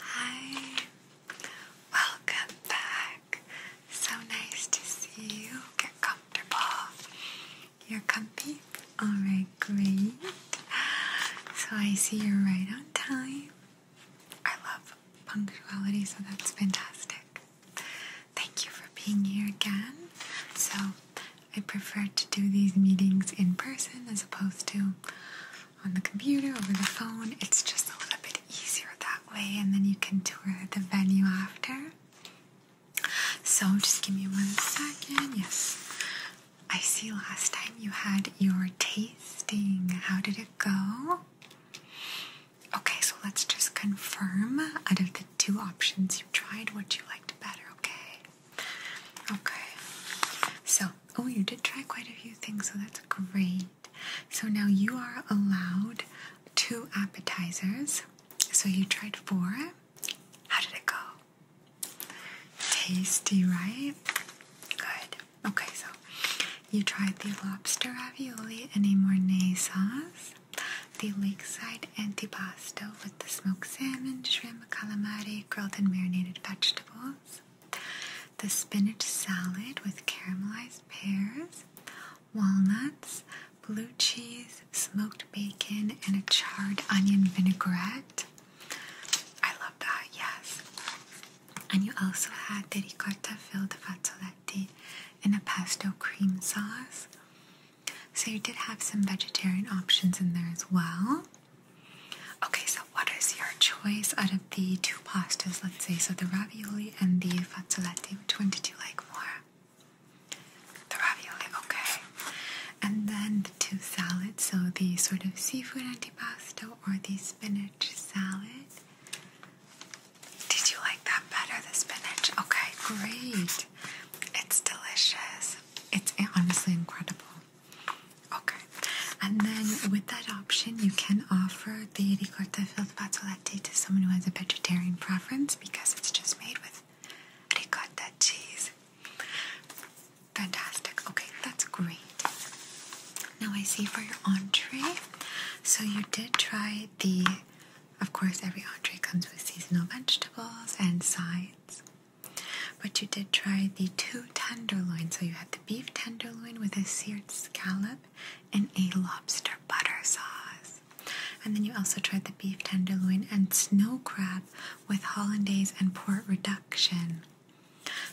Hi, welcome back. So nice to see you. Get comfortable. You're comfy? Alright, great. So I see you're right on time. I love punctuality, so that's fantastic. Thank you for being here again. So I prefer to do these meetings in person as opposed to on the computer, over the phone. It's just a little bit easier that way, and then you can tour the venue after. So just give me one second. Yes. I see last time you had your tasting. How did it go? Okay, so let's just confirm out of the two options you tried what you liked better, okay? Okay. So Oh, you did try quite a few things, so that's great. So now you are allowed two appetizers. So you tried four. How did it go? Tasty, right? Good. Okay, so you tried the lobster ravioli in a Mornay sauce, the lakeside antipasto with the smoked salmon, shrimp, calamari, grilled and marinated vegetables, the spinach salad with caramelized pears, walnuts, blue cheese, smoked bacon, and a charred onion vinaigrette. I love that, yes. And you also had the ricotta filled fazzoletti in a pesto cream sauce. So you did have some vegetarian options in there as well. Okay, so what is your choice out of the two pastas, let's say? So the ravioli and the fazzoletti, which one did you like more? The ravioli, okay. And then the two salads, so the sort of seafood antipasto or the spinach salad. Did you like that better, the spinach? Okay, great. It's delicious. It's honestly incredible. Okay, and then with that option, you can offer the ricotta filled pazzolette to someone who has a vegetarian preference because it's just made with ricotta cheese. Fantastic. Okay, that's great. Now I see for your entree, so you did try the, of course, every entree comes with seasonal vegetables and sides. But you did try the two tenderloins, So you had the beef tenderloin with a seared scallop and a lobster butter sauce. And then you also tried the beef tenderloin and snow crab with hollandaise and port reduction.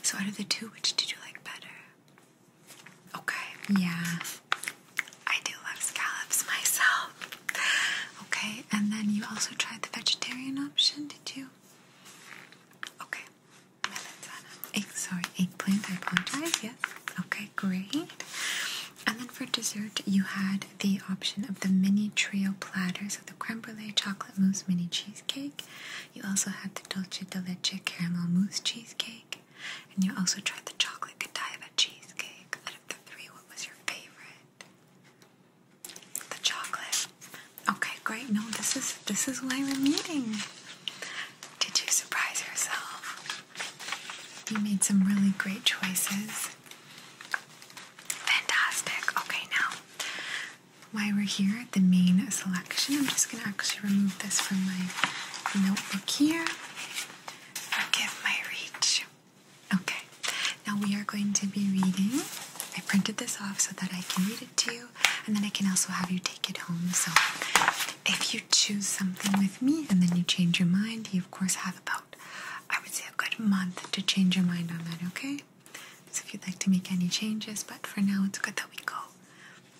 So out of the two, which did you like better? Okay, yeah. I do love scallops myself. Okay, and then you also tried the vegetarian option, did you? Okay, Egg, sorry, eggplant, I apologize. Yes. Okay, great. And then for dessert, you had the option of the mini trio platters of the creme brulee chocolate mousse mini cheesecake. You also had the dolce de leche caramel mousse cheesecake. And you also tried the chocolate Godiva cheesecake. Out of the three, what was your favorite? The chocolate. Okay, great. No, this is this is why we're meeting. Did you surprise yourself? You made some really great choices. Fantastic. Okay, now while we're here at the main selection, I'm just gonna actually remove this from my notebook here. Forgive my reach. Okay, now we are going to be reading. I printed this off so that I can read it. To you, and then I can also have you take it home. So if you choose something with me and then you change your mind, you of course have about, I would say, a good month to change your mind on that, okay? So if you'd like to make any changes, but for now it's good that we go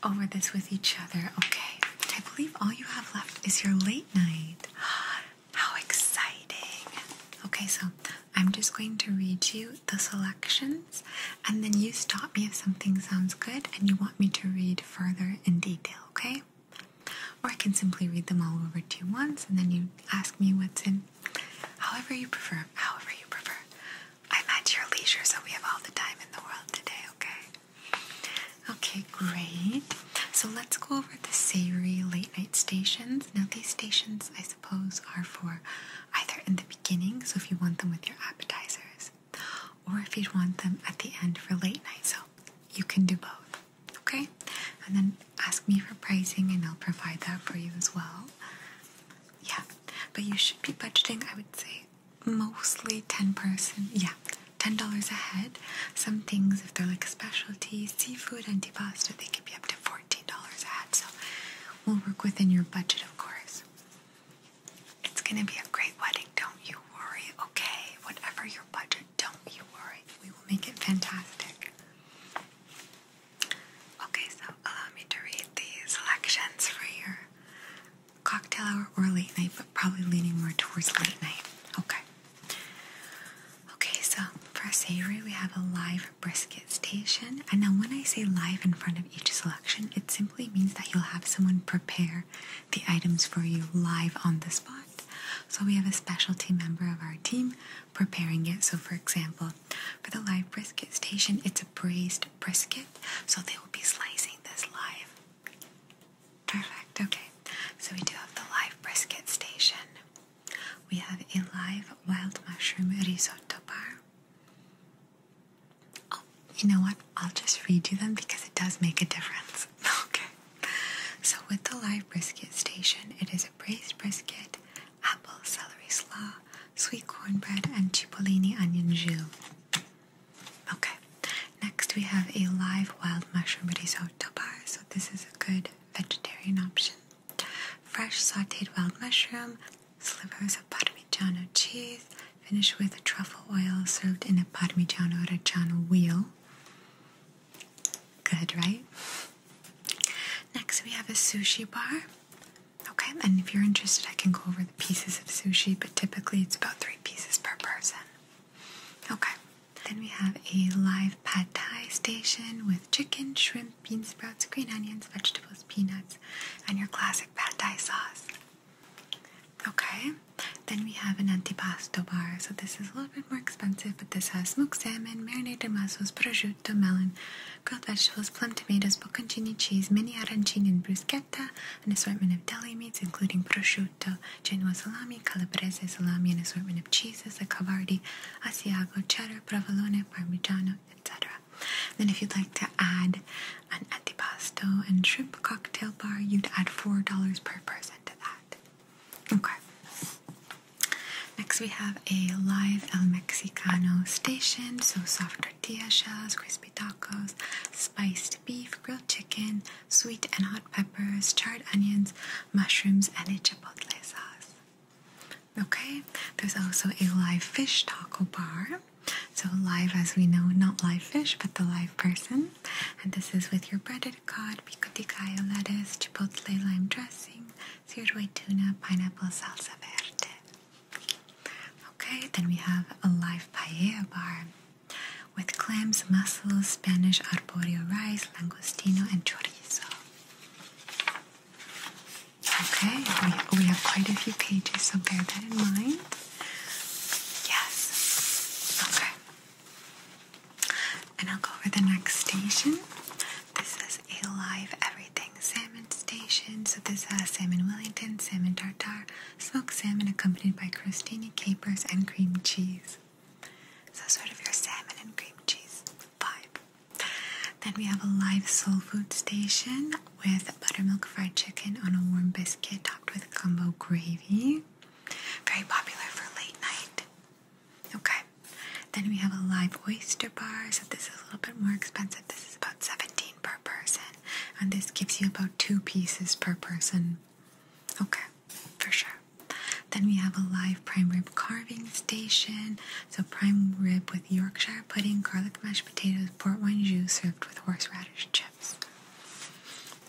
over this with each other, okay? I believe all you have left is your late night. How exciting! Okay, so I'm just going to read you the selections and then you stop me if something sounds good and you want me to read further in detail, okay? Or I can simply read them all over to you once and then you ask me what's in however you prefer, however you prefer. I'm at your leisure, so we have all the time in the world today, okay? Okay, great. So let's go over the savory late night stations. Now, these stations, I suppose, are for either in the beginning, so if you want them with your appetizers, or if you'd want them at the end for late night. So you can do both, okay? And then ask me for pricing and I'll provide that for you as well. Yeah, but you should be budgeting, I would say, mostly 10 person, yeah, $10 a head. Some things, if they're like a specialty, seafood, antipasto, they could be up to $14 a head. So We'll work within your budget, of course. It's gonna be a great wedding, don't you worry, okay? Whatever your budget, don't you worry. We will make it fantastic. Okay, so allow me to read the selections for your cocktail hour or late night, but probably leaning more towards late night. Okay. Okay, so for savory, we have a live brisket station. And now, when I say live in front of each selection, it simply means that you'll have someone prepare the items for you live on the spot. So we have a specialty member of our team preparing it. So, for example, for the live brisket station, it's a braised brisket, so they will be slicing this live. Perfect, okay. So, we do have the live brisket station. We have a live wild mushroom risotto bar. Oh, you know what? I'll just read you them because it does make a difference. okay. So, with the live brisket station, it is a braised brisket, apple, celery slaw, sweet cornbread, and cipollini onion jus. Okay. Next, we have a live wild mushroom risotto bar. So, this is a good vegetarian option fresh sauteed wild mushroom, slivers of parmigiano cheese, finished with truffle oil served in a parmigiano reggiano wheel. Good, right? Next, we have a sushi bar. Okay, and if you're interested, I can go over the pieces of sushi, but typically it's about three pieces per person. Okay, then we have a live pad thai station with chicken, shrimp, bean sprouts, green onions, vegetables, peanuts, and your classic pad thai sauce. Okay, then we have an antipasto bar. So this is a little bit more expensive, but this has smoked salmon, marinated mussels, prosciutto, melon, grilled vegetables, plum tomatoes, bocconcini cheese, mini arancini, and bruschetta, an assortment of deli meats including prosciutto, Genoa salami, calabrese salami, an assortment of cheeses like Havarti, Asiago, cheddar, provolone, parmigiano, etc. Then, if you'd like to add an antipasto and shrimp cocktail bar, you'd add $4 per person to that. Okay. Next, we have a live El Mexicano station, so soft tortilla shells, crispy tacos, spiced beef, grilled chicken, sweet and hot peppers, charred onions, mushrooms, and a chipotle sauce. Okay, there's also a live fish taco bar. So, live as we know, not live fish, but the live person. And this is with your breaded cod, pico de gallo lettuce, chipotle lime dressing, seared tuna, pineapple salsa verde. Okay, then we have a live paella bar with clams, mussels, Spanish arborio rice, langostino, and chorizo. Okay, we, we have quite a few pages, so bear that in mind. Yes. Okay. And I'll go over the next station. This is a live everything salmon station. So this has salmon Wellington, salmon tartare, smoked salmon accompanied by crostini, capers, and cream cheese. So sort of your salmon and cream cheese vibe. Then we have a live soul food station with buttermilk fried chicken on a warm biscuit topped with gumbo gravy. Very popular for late night. Okay. Then we have a live oyster bar. So this is a little bit more expensive. This is about 17 per person. And this gives you about two pieces per person. Okay, for sure. Then we have a live prime rib carving station so prime rib with Yorkshire pudding, garlic mashed potatoes, port wine jus served with horseradish chips.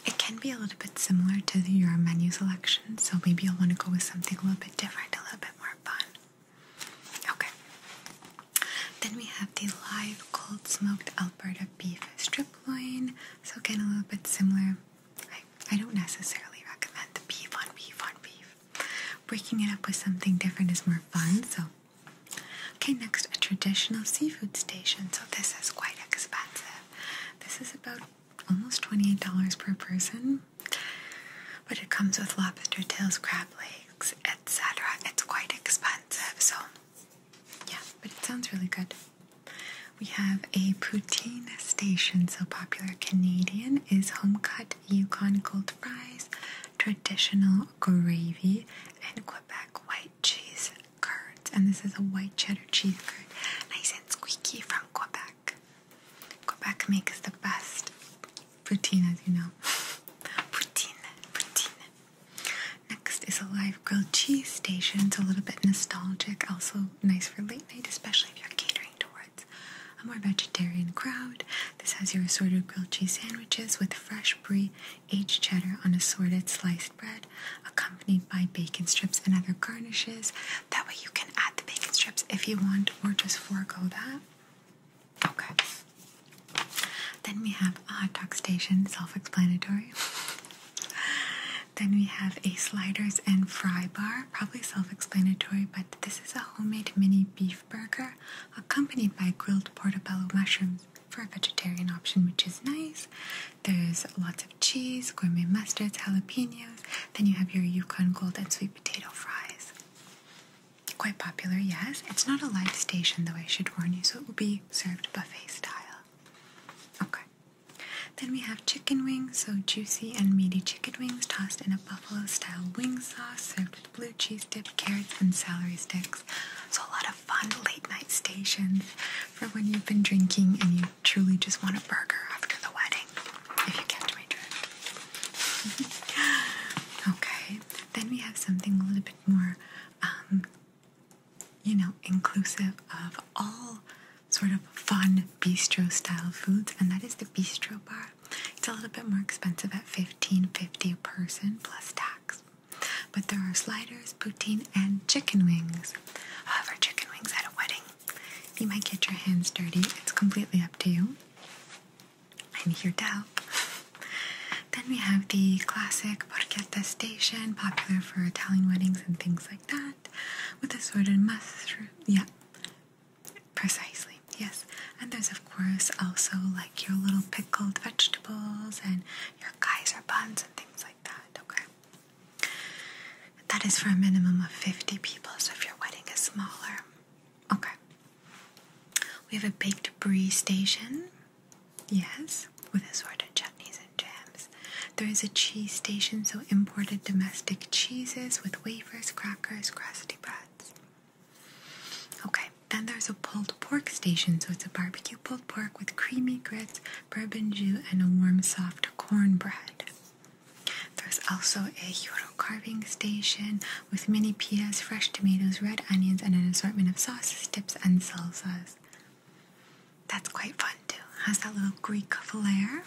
It can be a little bit similar to your menu selection, so maybe you'll want to go with something a little bit different, a little bit more fun. Okay. Then we have the live cold smoked Alberta beef strip loin. So again, a little bit similar. I, I don't necessarily recommend the beef on beef on beef. Breaking it up with something different is more fun, so Okay, next a traditional seafood station. So this is quite expensive. This is about almost $28 per person. But it comes with lobster tails, crab legs, etc. It's quite expensive, so yeah, but it sounds really good. We have a poutine station, so popular Canadian is home cut Yukon gold fries, traditional gravy and Quebec white cheese curds. And this is a white cheddar cheese curd, nice and squeaky from Quebec. Quebec makes the best poutine, as you know. poutine, poutine. Next is a live grilled cheese station. It's a little bit nostalgic, also nice for late night, especially if you're catering towards a more vegetarian crowd. This has your assorted grilled cheese sandwiches with fresh brie, aged cheddar on assorted sliced bread, accompanied by bacon strips and other garnishes. That way you can add the bacon strips if you want or just forego that. Okay. Then we have a hot dog station, self-explanatory. then we have a sliders and fry bar, probably self-explanatory, but this is a homemade mini beef burger accompanied by grilled portobello mushrooms for a vegetarian option, which is nice. There's lots of cheese, gourmet mustards, jalapenos. Then you have your Yukon Gold and sweet potato fries. Quite popular, yes. It's not a live station, though, I should warn you, so it will be served buffet style. Okay. Then we have chicken wings, so juicy and meaty chicken wings tossed in a buffalo style wing sauce served blue cheese dip, carrots, and celery sticks. So, a lot of fun late night stations for when you've been drinking and you truly just want a burger after the wedding, if you catch my drift. okay, then we have something a little bit more, um, you know, inclusive of all sort of fun bistro style foods, and that is the bistro bar. It's a little bit more expensive at fifteen fifty dollars a person plus tax. But there are sliders, poutine, and chicken wings. However, chicken wings at a wedding, you might get your hands dirty. It's completely up to you. I'm here to help. then we have the classic porchetta station, popular for Italian weddings and things like that, with assorted mushroom. Yeah, precisely. Yes. And there's of course also like your little pickled vegetables and your Kaiser buns and things like that. Okay. That is for a minimum of 50 people, so if your wedding is smaller. Okay. We have a baked brie station. Yes, with a sort of chutneys and jams. There is a cheese station, so imported domestic cheeses with wafers, crackers, crusty breads. Okay, then there's a pulled pork station, so it's a barbecue pulled pork with creamy grits, bourbon juice, and a warm, soft cornbread. There's also a gyro carving station with mini pitas, fresh tomatoes, red onions, and an assortment of sauces, dips, and salsas. That's quite fun too. Has that little Greek flair,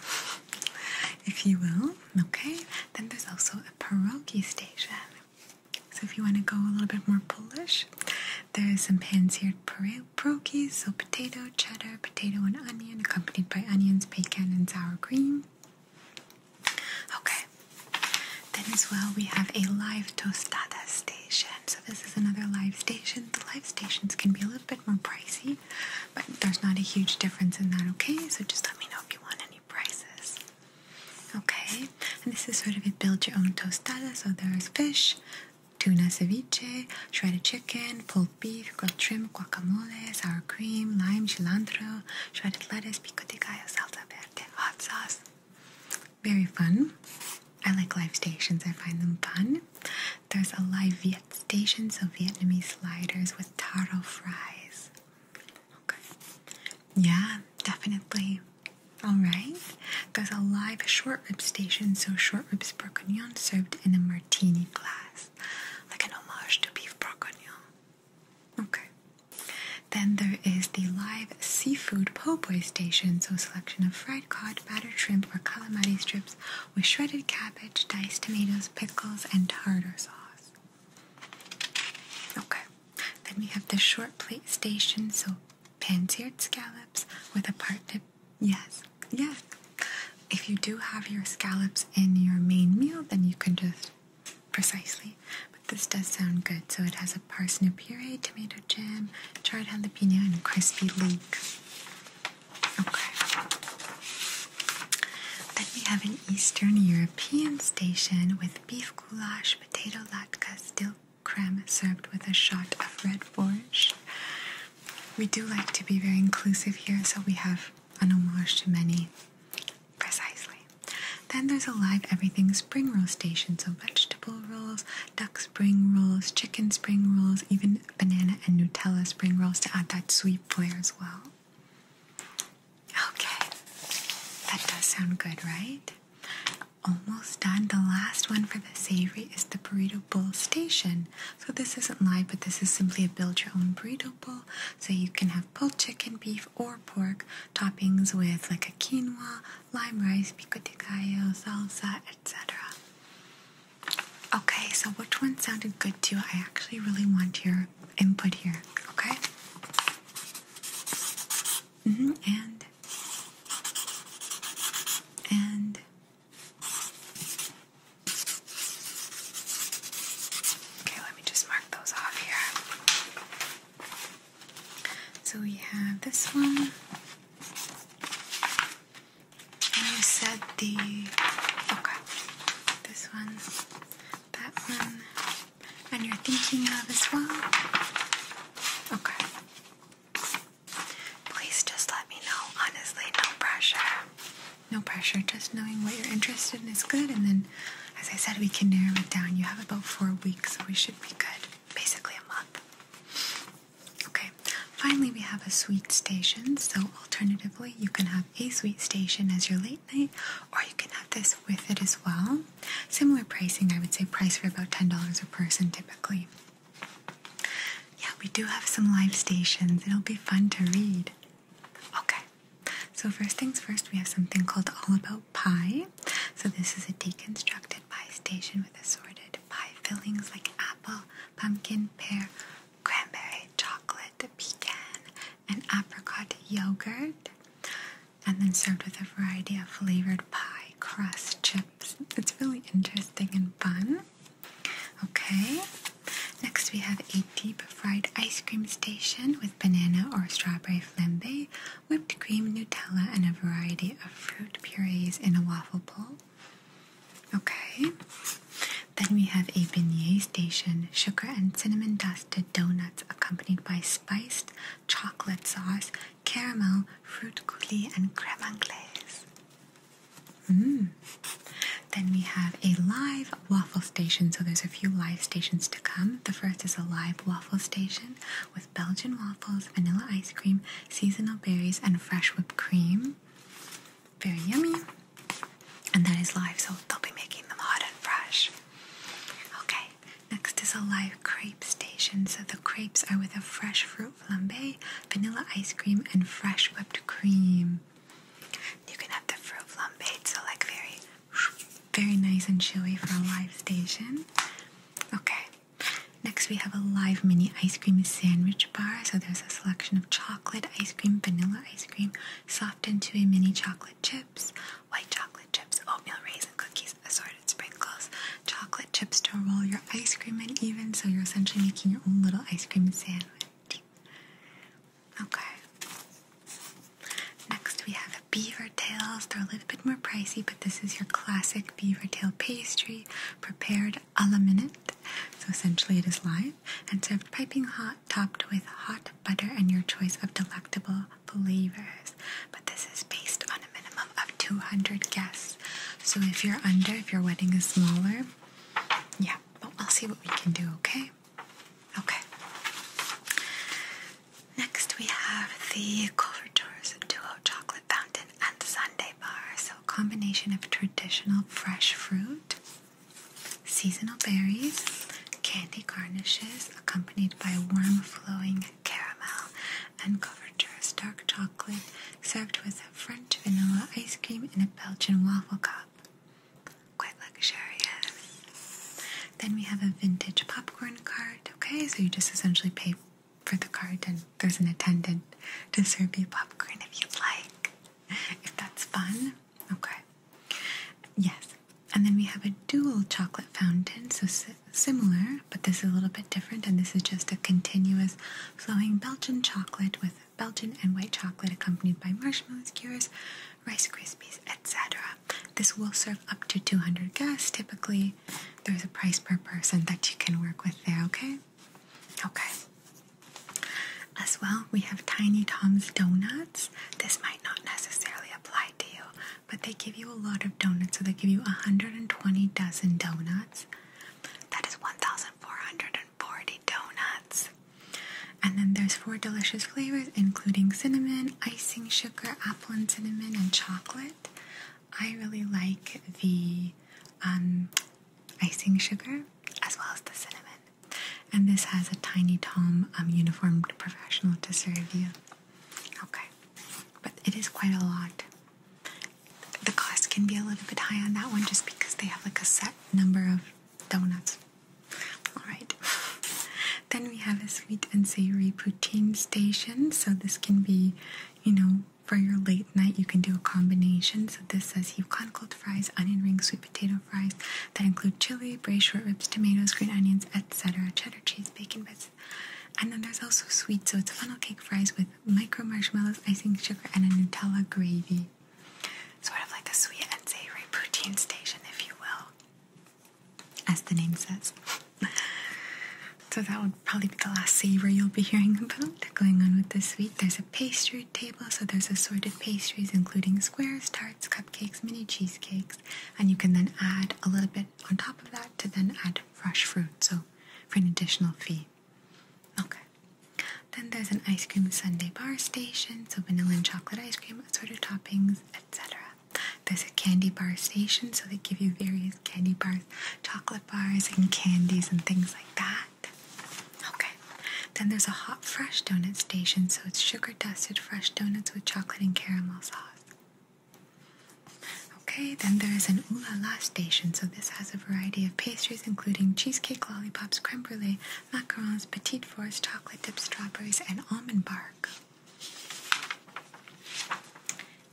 if you will. Okay. Then there's also a pierogi station. So if you want to go a little bit more Polish, there is some pans here: pierogi, so potato, cheddar, potato, and onion, accompanied by onions, bacon, and sour cream. Okay. Then as well, we have a live tostada station. So this is another live station. The live stations can be a little bit more pricey, but there's not a huge difference in that, okay? So just let me know if you want any prices. Okay, and this is sort of a build your own tostada. So there is fish, tuna ceviche, shredded chicken, pulled beef, grilled shrimp, guacamole, sour cream, lime, cilantro, shredded lettuce, pico de gallo, salsa verde, hot sauce. Very fun. I like live stations, I find them fun. There's a live Viet station, so Vietnamese sliders with taro fries. Okay. Yeah, definitely. Alright, there's a live short rib station, so short ribs bourguignon served in a martini glass, like an homage to beef bourguignon. Okay. Then there is the live seafood po' boy station, so a selection of fried cod, battered shrimp, or calamari strips with shredded cabbage, diced tomatoes, pickles, and tartar sauce. Okay, then we have the short plate station, so pan-seared scallops with a part dip. Yes, yes. If you do have your scallops in your main meal, then you can just precisely. But this does sound good. So it has a parsnip puree, tomato jam, charred jalapeno, and crispy link. Okay. Then we have an Eastern European station with beef goulash, potato latke, still creme served with a shot of red borscht. We do like to be very inclusive here, so we have an homage to many. Precisely. Then there's a live everything spring roll station, so vegetable rolls, duck spring rolls, chicken spring rolls, even banana and Nutella spring rolls to add that sweet flair as well. Okay, that does sound good, right? Almost done. The last one for the savory is the burrito bowl station. So this isn't live, but this is simply a build your own burrito bowl. So you can have pulled chicken, beef, or pork toppings with like a quinoa, lime rice, pico de gallo, salsa, etc. Okay, so which one sounded good to you? I actually really want your input here, okay? Mm-hmm. And and okay, let me just mark those off here. So we have this one. you said the okay. This one, that one, and you're thinking of as well? Okay. Please just let me know. Honestly, no pressure. No pressure. Just knowing what you're interested in is good. And then, as I said, we can narrow it down. You have about four weeks, so we should be good. Basically, a month. Okay. Finally, we have a sweet station. So, alternatively, you can have a sweet station as your late night, or you can have this with it as well. Similar pricing, I would say price for about $10 a person typically. Yeah, we do have some live stations. It'll be fun to read. Okay, so first things first, we have something called All About Pie. So this is a deconstructed pie station with assorted pie fillings like apple, pumpkin, pear, cranberry, chocolate, pecan, and apricot yogurt and then served with a variety of flavored pie crust chips. It's really interesting and fun. Okay, next we have a deep fried ice cream station with banana or strawberry flambe, whipped cream, Nutella, and a variety of fruit purees in a waffle bowl. Okay, then we have a beignet station, sugar and cinnamon dusted donuts accompanied by spiced chocolate sauce, caramel, fruit coulis, and creme anglaise. Mm. Then we have a live waffle station. So there's a few live stations to come. The first is a live waffle station with Belgian waffles, vanilla ice cream, seasonal berries, and fresh whipped cream. Very yummy. And that is live, so they'll be making them hot and fresh. Okay, Next is a live crepe station. So the crepes are with a fresh fruit flambe, vanilla ice cream, and fresh whipped cream. You can have the fruit flambe, so like very, very nice and chewy for a live station. Okay. Next we have a live mini ice cream sandwich bar. So there's a selection of chocolate ice cream, vanilla ice cream, soft and a mini chocolate chips, white chocolate chips, oatmeal raisin cookies, assorted sprinkles, chocolate chips to roll your ice cream in even, so you're essentially making your own little ice cream sandwich. Okay. Next we have beaver tails. They're a little bit more pricey, but this is your classic beaver tail pastry prepared a la minute. So essentially it is live and served piping hot, topped with hot butter and your choice of delectable believers, but this is based on a minimum of 200 guests. So if you're under, if your wedding is smaller, yeah, but I'll see what we can do, okay? Okay. Next, we have the Couverture's Duo Chocolate Fountain and Sunday Bar. So, a combination of traditional fresh fruit, seasonal berries, candy garnishes accompanied by warm flowing caramel and covered with dark chocolate served with French vanilla ice cream in a Belgian waffle cup. Quite luxurious. Then we have a vintage popcorn cart. Okay, so you just essentially pay for the cart and there's an attendant to serve you popcorn if you'd like. If that's fun. Okay. Yes, and then we have a dual chocolate fountain, so similar, but this is a little bit different. And this is just a continuous flowing Belgian chocolate with Belgian and white chocolate accompanied by marshmallows, cures, Rice Krispies, etc. This will serve up to 200 guests. Typically, there's a price per person that you can work with there, okay? Okay. As well, we have Tiny Tom's Donut. This might not necessarily apply to you, but they give you a lot of donuts. So they give you 120 dozen donuts. That is 1,440 donuts. And then there's four delicious flavors, including cinnamon, icing sugar, apple and cinnamon, and chocolate. I really like the um, icing sugar as well as the cinnamon. And this has a Tiny Tom um, uniformed professional to serve you. Okay, but it is quite a lot. The cost can be a little bit high on that one just because they have like a set number of donuts. Alright, then we have a sweet and savory poutine station. So this can be, you know, for your late night, you can do a combination. So this says Yukon cold fries, onion rings, sweet potato fries that include chili, braised short ribs, tomatoes, green onions, etc., cheddar cheese bacon bits. And then there's also sweet, so it's funnel cake fries with micro marshmallows, icing sugar, and a Nutella gravy. Sort of like a sweet and savory poutine station, if you will, as the name says. so that would probably be the last savory you'll be hearing about. Going on with the sweet, there's a pastry table, so there's assorted pastries, including squares, tarts, cupcakes, mini cheesecakes, and you can then add a little bit on top of that to then add fresh fruit, so for an additional fee. Okay. Then there's an ice cream sundae bar station, so vanilla and chocolate ice cream, assorted toppings, etc. There's a candy bar station, so they give you various candy bars, chocolate bars, and candies and things like that. Okay. Then there's a hot fresh donut station, so it's sugar dusted fresh donuts with chocolate and caramel sauce. Okay, then there is an Ooh La station, so this has a variety of pastries including cheesecake, lollipops, creme brulee, macarons, petit fours, chocolate dipped strawberries, and almond bark.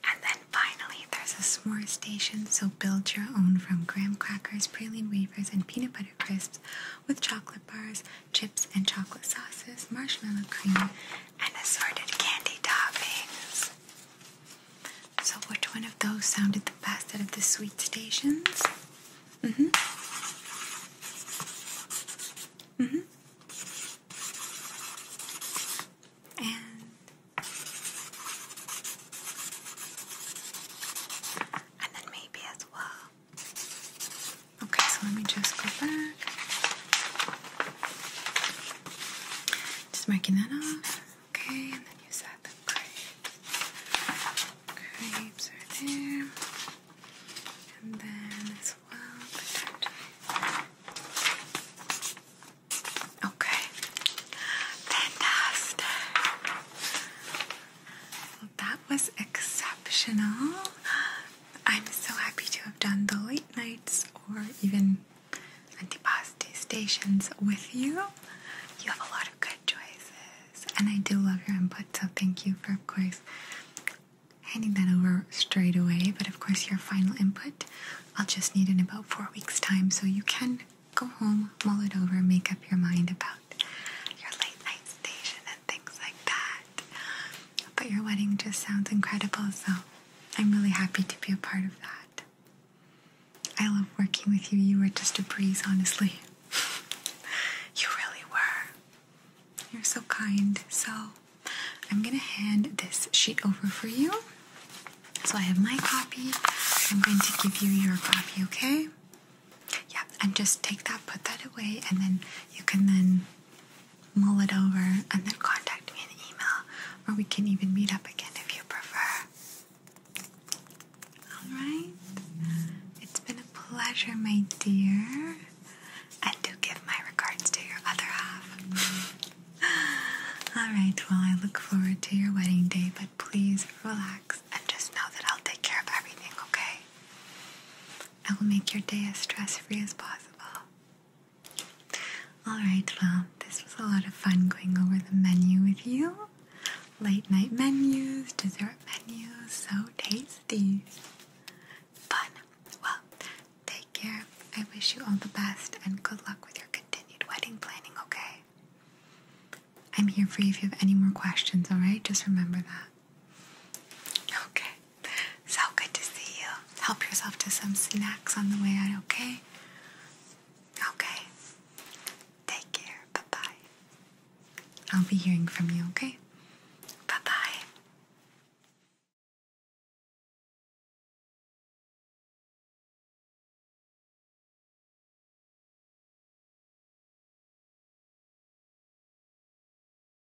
And then finally, there's a s'more station, so build your own from graham crackers, praline wafers, and peanut butter crisps with chocolate bars, chips and chocolate sauces, marshmallow cream, and assorted candy toppings. So, which one of those sounded the best out of the sweet stations? Mm hmm. Mm hmm. And and then maybe as well Okay, so let me just go back. Just making that off. Okay, and then you said the crepes. are there. And then as well, Okay. Fantastic. Well, that was exceptional. I'm so happy to have done the late nights or even antipasti stations with you. You have a lot of good choices, and I do love your input, so thank you for, of course, handing that over straight away. But of course, your final input I'll just need in about four weeks' time, so you can go home, mull it over, make up your mind about your late night station and things like that. But your wedding just sounds incredible, so I'm really happy to be a part of that. I love working with you. You were just a breeze, honestly. you really were. You're so kind. So I'm going to hand this sheet over for you. So I have my copy. I'm going to give you your copy, okay? Yeah, and just take that, put that away, and then you can then mull it over, and then contact me in email, or we can even meet up again if you prefer. Alright? It's been a pleasure, my dear. And do give my regards to your other half. Alright, well, I look forward to your wedding day, but please relax and just know that I'll take care of everything, okay? I will make your day as stress-free as possible. Alright, well, this was a lot of fun going over the menu with you. Late night menus, dessert menus, so tasty. Fun. Well, take care. I wish you all the best and good luck with your continued wedding planning, okay? I'm here for you if you have any more questions, alright? Just remember that. Okay. So good to see you. Help yourself to some snacks on the way out, okay? Okay. Take care. Bye bye. I'll be hearing from you, okay? Bye bye.